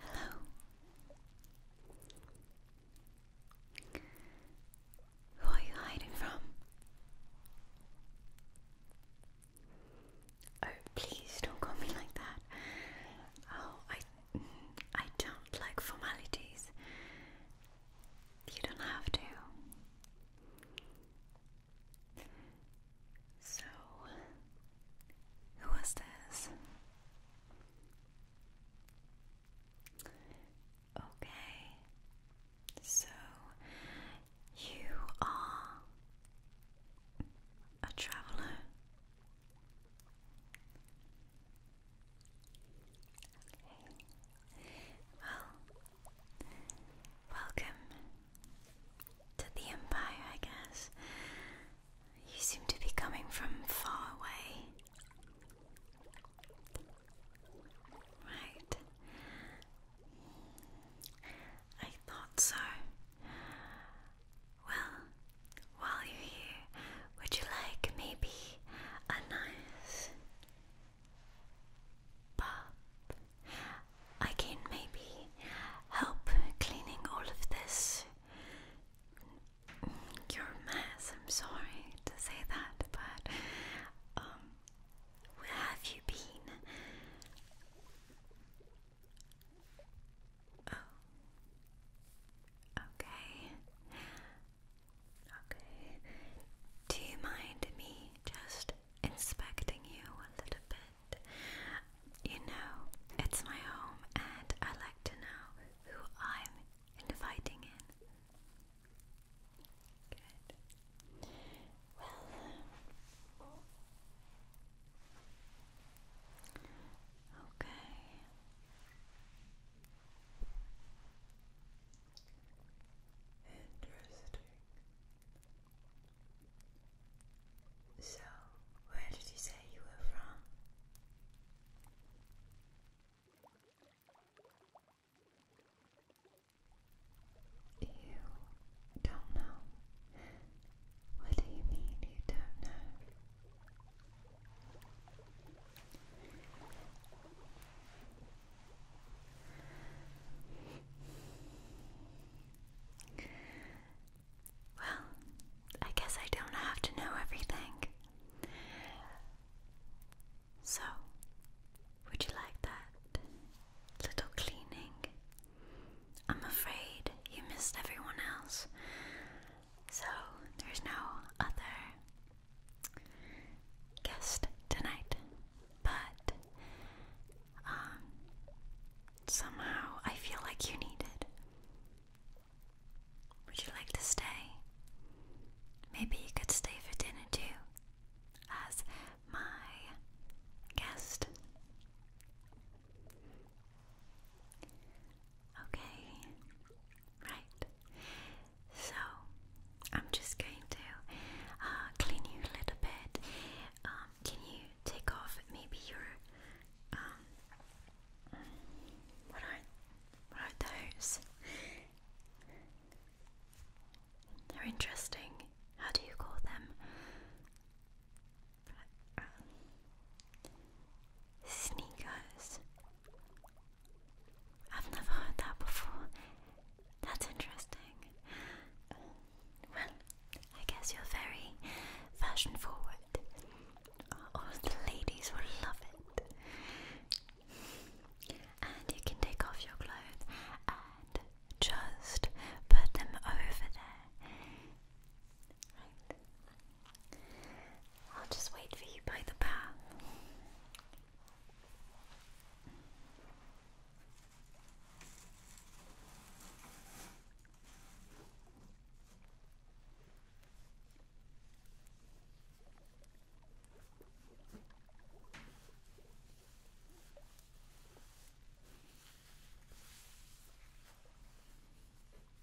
Hello. Who are you hiding from? Oh, please don't call me like that. Oh, I, I don't like formalities. You don't have to. So, who was this? Okay, so you are a traveler. Well, welcome to the Empire, I guess. You seem to be coming from far away. Right. I thought so. Well, while you're here, would you like maybe a nice pop? I can maybe help cleaning all of this. Your mess, I'm sorry to say that, but um, where have you been? Oh, okay. Okay. Do you mind me just inspecting you a little bit? You know, it's my home and I like to know who I'm inviting in. Good. Well. Um, okay. Interesting. So, where did you say you were from? You don't know. What do you mean you don't know? Well, I guess I don't have to know everything. So, would you like that little cleaning? I'm afraid you missed everyone else. So there's no other guest tonight, but um, somehow I feel like you need it. Would you like to stay? Maybe you could stay for dinner too, as my guest. Okay, right. So I'm just going to uh, clean you a little bit. Um, can you take off maybe your um, What are what are those? They're interesting. How do you call them? Um, Sneakers. I've never heard that before. That's interesting. well, I guess you're very fashion forward. All the ladies will love it. And you can take off your clothes and just put them over there. Right. I'll just wait for you by the path.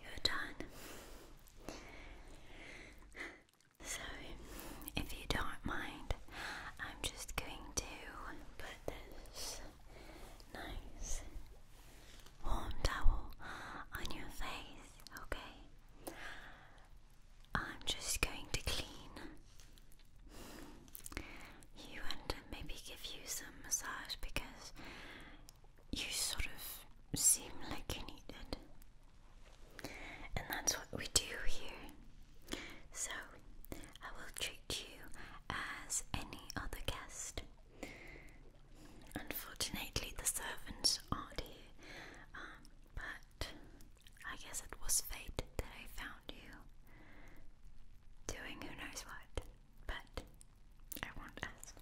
You're done. So, if you don't mind, I'm just going to put this nice warm towel on your face, okay? I'm just going to clean you and maybe give you some massage because you sort of seem like you need And that's what we do here. So, I will treat you as any other guest. Unfortunately, the servants are here, um, but I guess it was fate that I found you doing who knows what, but I won't ask.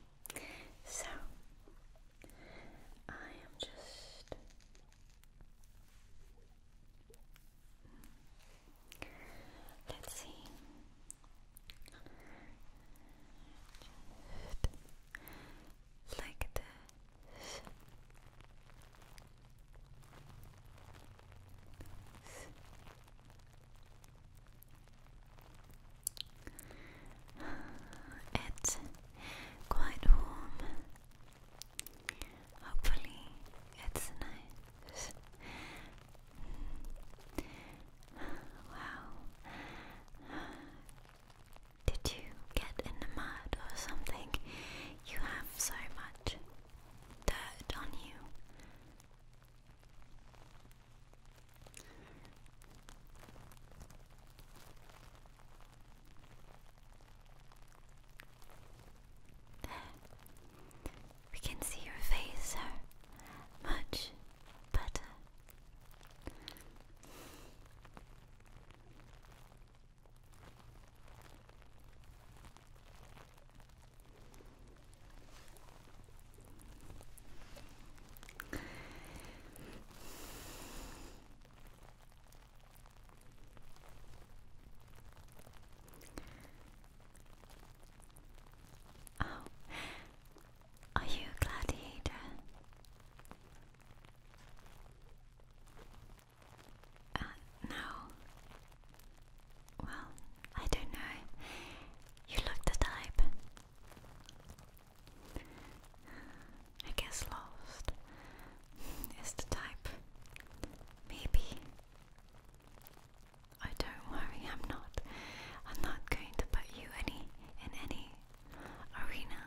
so, I am just. Let's see. Like this. It's quite warm. Hopefully, it's nice. Wow. Did you get in the mud or something? You have so much dirt on you. We can see your face so much better. Oh. are you a gladiator? Uh, no. Well, I don't know. You look the type. I guess lost is the type. Maybe. I don't worry, I'm not. I'm not going to put you any in any arena.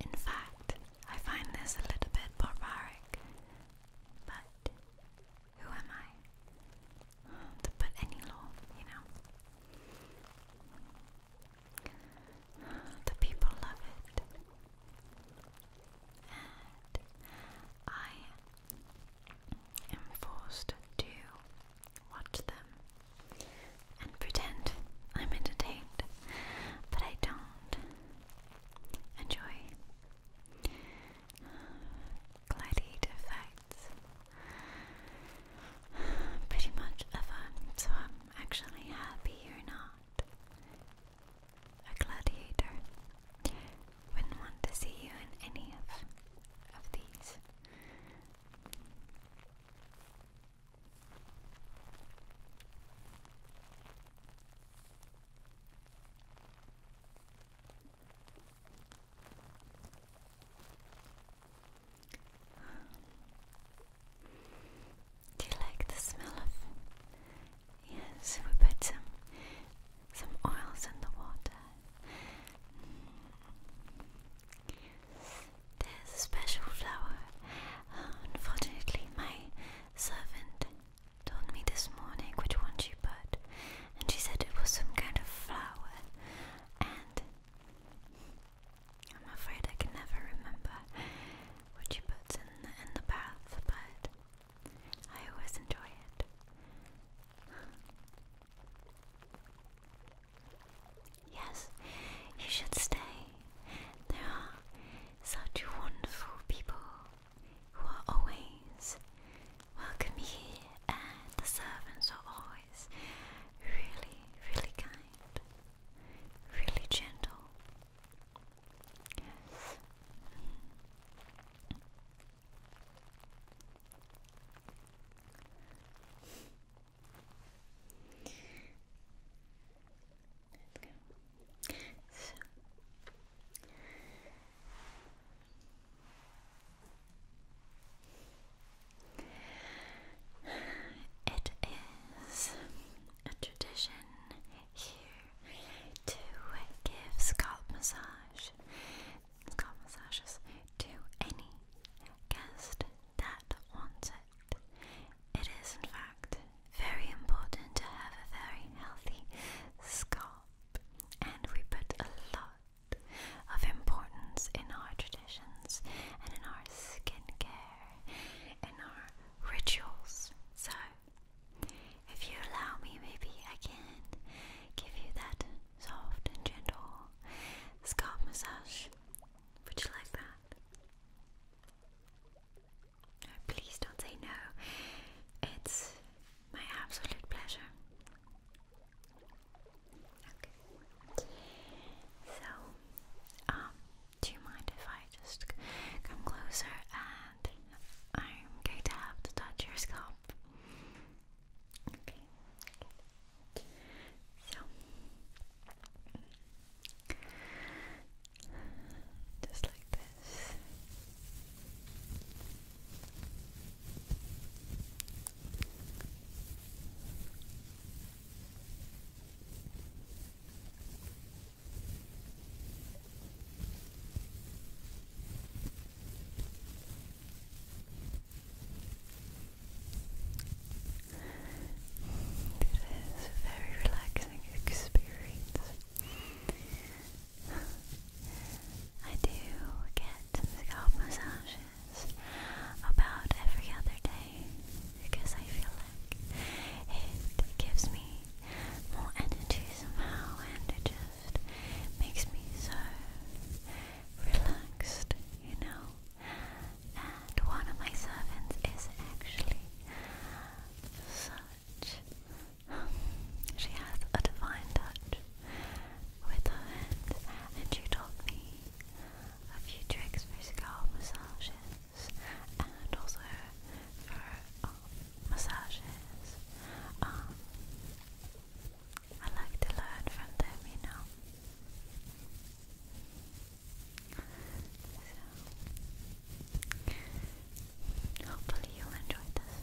In fact, I find this a little bit barbaric. But who am I hmm, to put any law, you know? The people love it. I am forced to watch them and pretend I'm entertained, but I don't enjoy gladiator fights pretty much so I'm actually happy you're not a gladiator. Wouldn't want to see you in any of of these. Do you like the smell of Yes, we put some some oils in the water. There's a special flower. unfortunately, my servant told me this morning which one she put, and she said it was some kind of flower. And I'm afraid I can never remember what she puts in in the bath, but I always enjoy it. yes, you should stay. There are such wonderful people who are always welcome here, and the servants are always really, really kind, really gentle go. So. It is a tradition here to give scalp massage, scalp massages to any guest that wants it. It is, in fact, very important to have a very healthy scalp, and we put a lot of importance in our traditions and in our skincare, in our rituals. So, if you allow me, maybe I can give you that soft and gentle scalp massage. Would you like that? please don't say no. It's my absolute pleasure. Okay. So, um, do you mind if I just come closer and I'm going to have to touch your scalp. Okay, So, just like this is a very relaxing experience. I do get scalp massages about every other day because I feel it gives me more energy somehow, and it just makes me so relaxed, you know. And one of my servants is actually such. she has a divine touch with her hands, and she taught me a few tricks for scalp massages and also for um, massages. Um, I like to learn from them, you know. So, hopefully you'll enjoy this.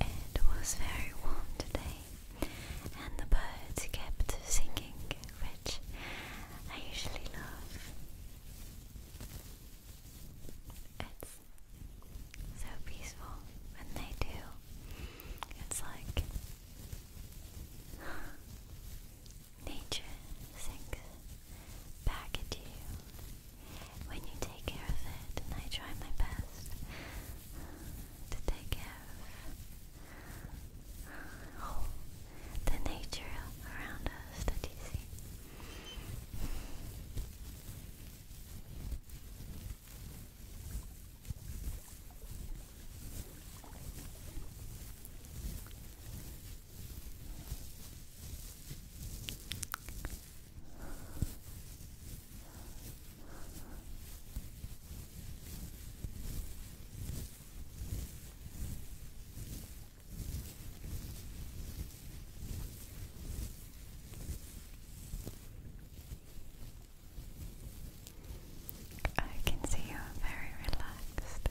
It was very warm today, and the birds kept singing, which I usually love. It's so peaceful when they do. It's like nature sings back at you when you take care of it, and I try my best that they give. Oh, the nature around us that you see. I can see you are very relaxed.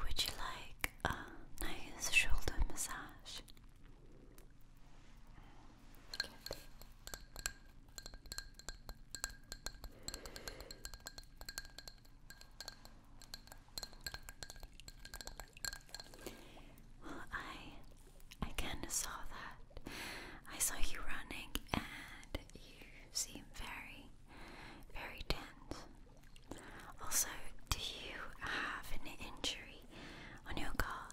Would you like a nice shoulder massage? Well, I I kind of saw that. I saw you running, and you seem very, very tense. Also, do you have an injury on your car?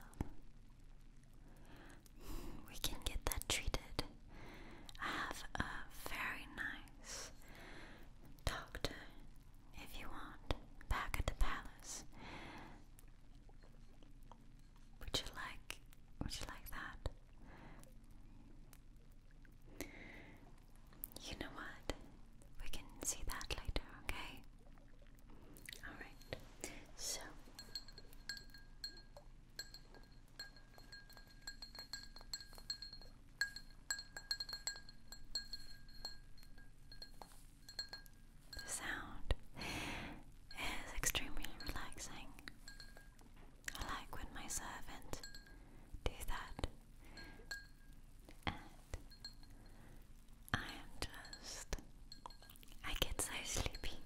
Hmm, we can get that treated. I have a very nice doctor, if you want, back at the palace. Would you like? Would you like that? You know what? We can see that later, okay? Alright, so. The sound is extremely relaxing. I like when my servants do that. And I am just. I get so sleepy.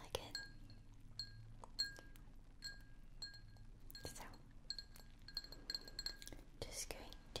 Like it. So, just going to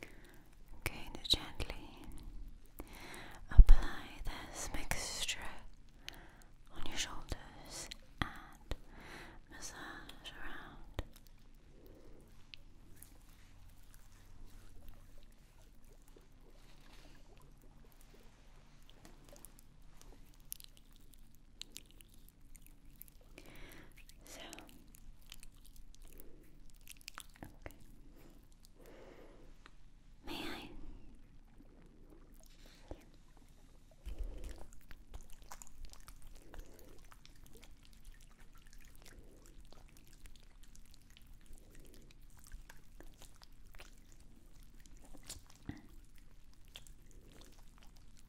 I'm gently apply this mixture on your shoulders and massage around. So, okay. May I?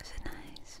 Is it nice?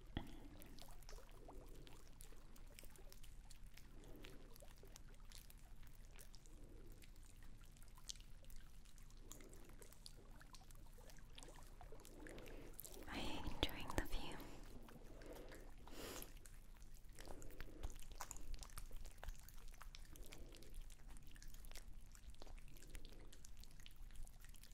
Are you enjoying the view?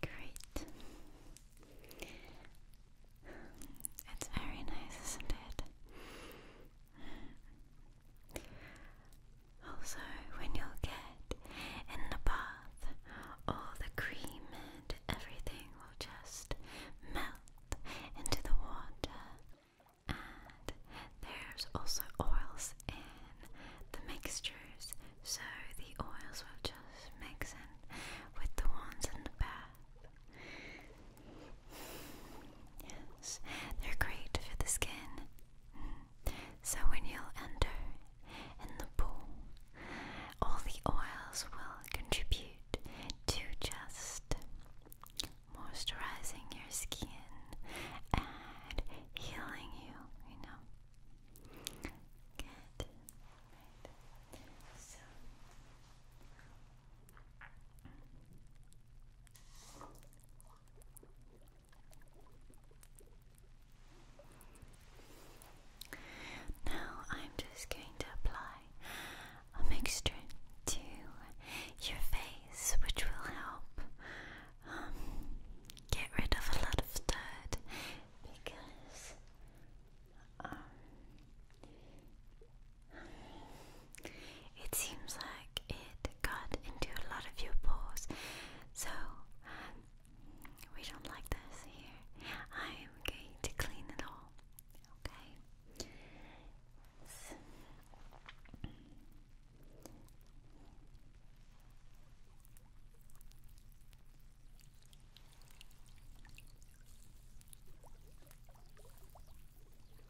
Great. It's very nice, isn't it? Also, when you'll get in the bath, all the cream and everything will just melt into the water. And there's also oils in the mixtures, so the oils will just mix in with the ones in the bath. Yes, they're great for the skin. So when you'll enter in the pool, all the oils will contribute to just moisturizing your skin and healing you, you know. Good. Right. So now I'm just going to apply a mixture to your face, which will help um, get rid of a lot of dirt because um, it seems like it got into a lot of your pores, so we don't like this here. I am going to clean it all, Okay.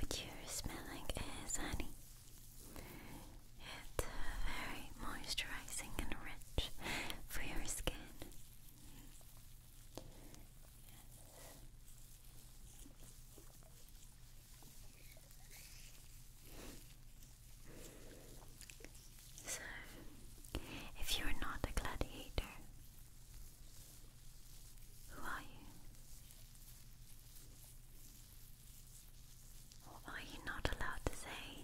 What you're smelling is honey. It's uh, very moisturizing and rich for your skin. So, if you're not a gladiator, who are you? Or are you not allowed to say?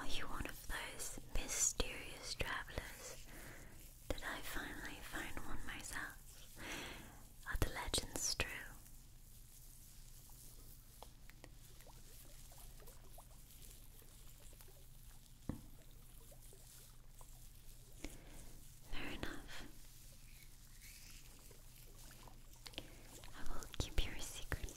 Are you one of those mysterious travelers did I finally find one myself? Are the legends true? Fair enough. I will keep your secret.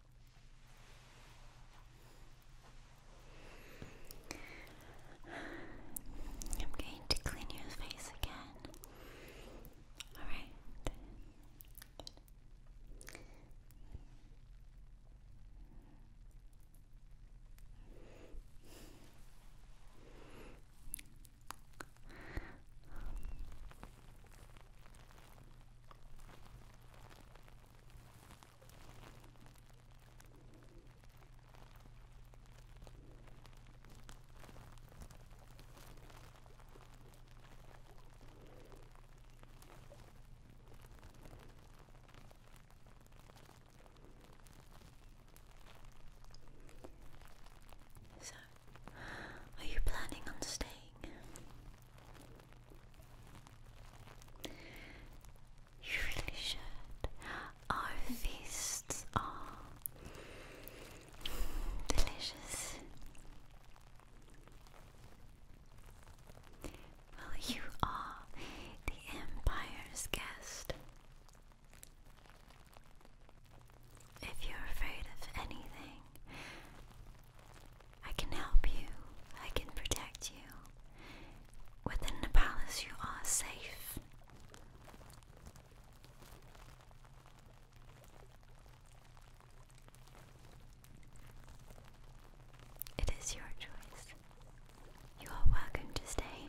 I'm going to clean your face again. Alright. So, are you planning on staying? You really should. Our feasts are delicious. Well, you are the Empire's guest. If you're afraid of anything, I can help you. I can protect you. Within the palace, you are safe. It is your choice. You are welcome to stay.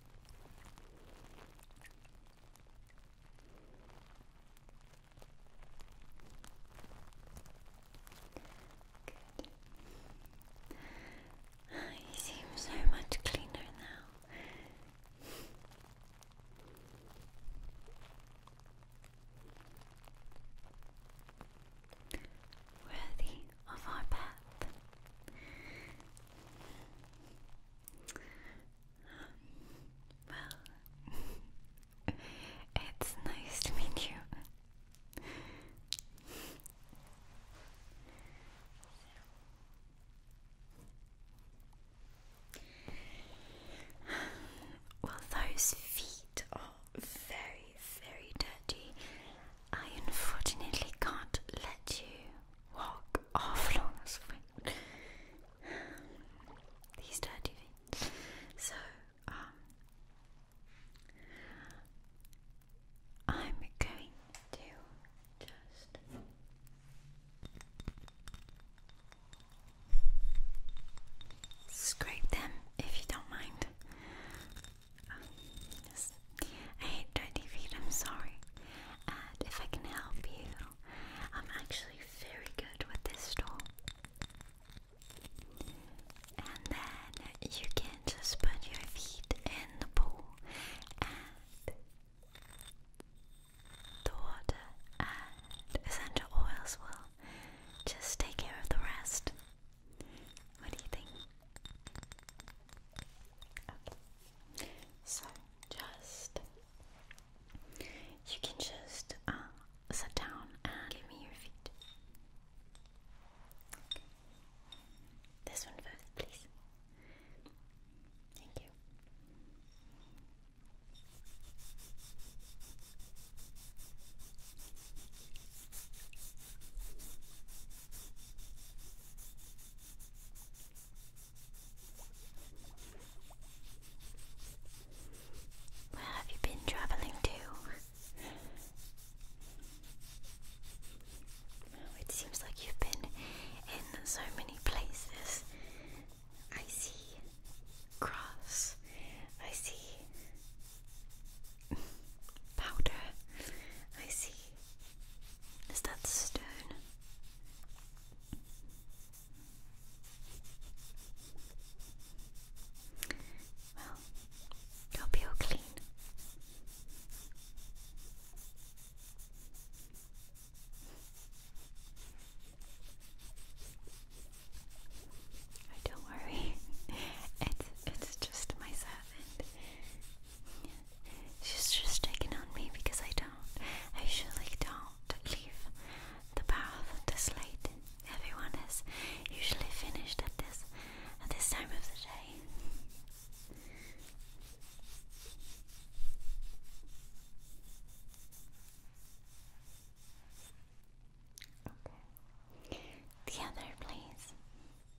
You seem so much cleaner now. Worthy, of our path. Well, it's nice to meet you. Well, those feet are very, very dirty. I unfortunately can't let you walk off long as well. These dirty feet. So, um, I'm going to just. Scrape them if you don't mind. Um, yes. I hate dirty I'm sorry. if I can help you, I'm actually very good with this tool. And then you can just put your feet in the pool and the water and essential oils will just take care of the rest. What do you think? So just you can just um, sit down and give me your feet. This one first, please. Thank you. Where have you been traveling to? it seems like you've been in so many places. I see grass. I see powder. I see. Is that stone? Well, you'll be all clean. don't worry, it's it's just my servant. She's just taking on me because I don't. I usually don't leave the bath this late. Everyone is usually finished at this at this time of the day. The other, please.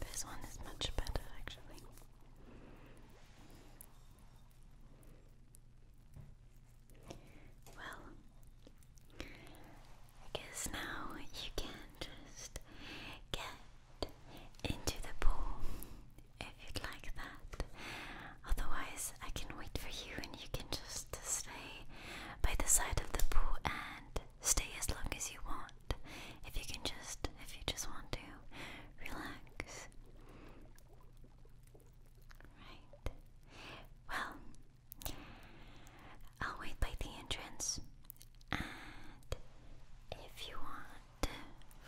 This one is much better, actually. Well, I guess now you can just get into the pool if you'd like that. Otherwise, I can wait for you and you can just stay by the side of the pool and stay as long as you want. If you can just, if you just want to, relax. Right. Well, I'll wait by the entrance. And if you want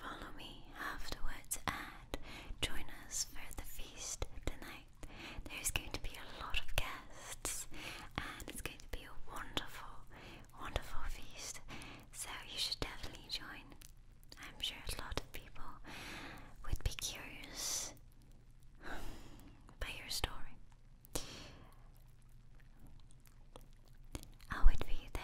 follow me afterwards and join us for the feast tonight, there's going to be a lot of guests and it's going to be a wonderful, wonderful feast. So you should definitely join. I'm sure a lot of people would be curious by your story. I'll wait there.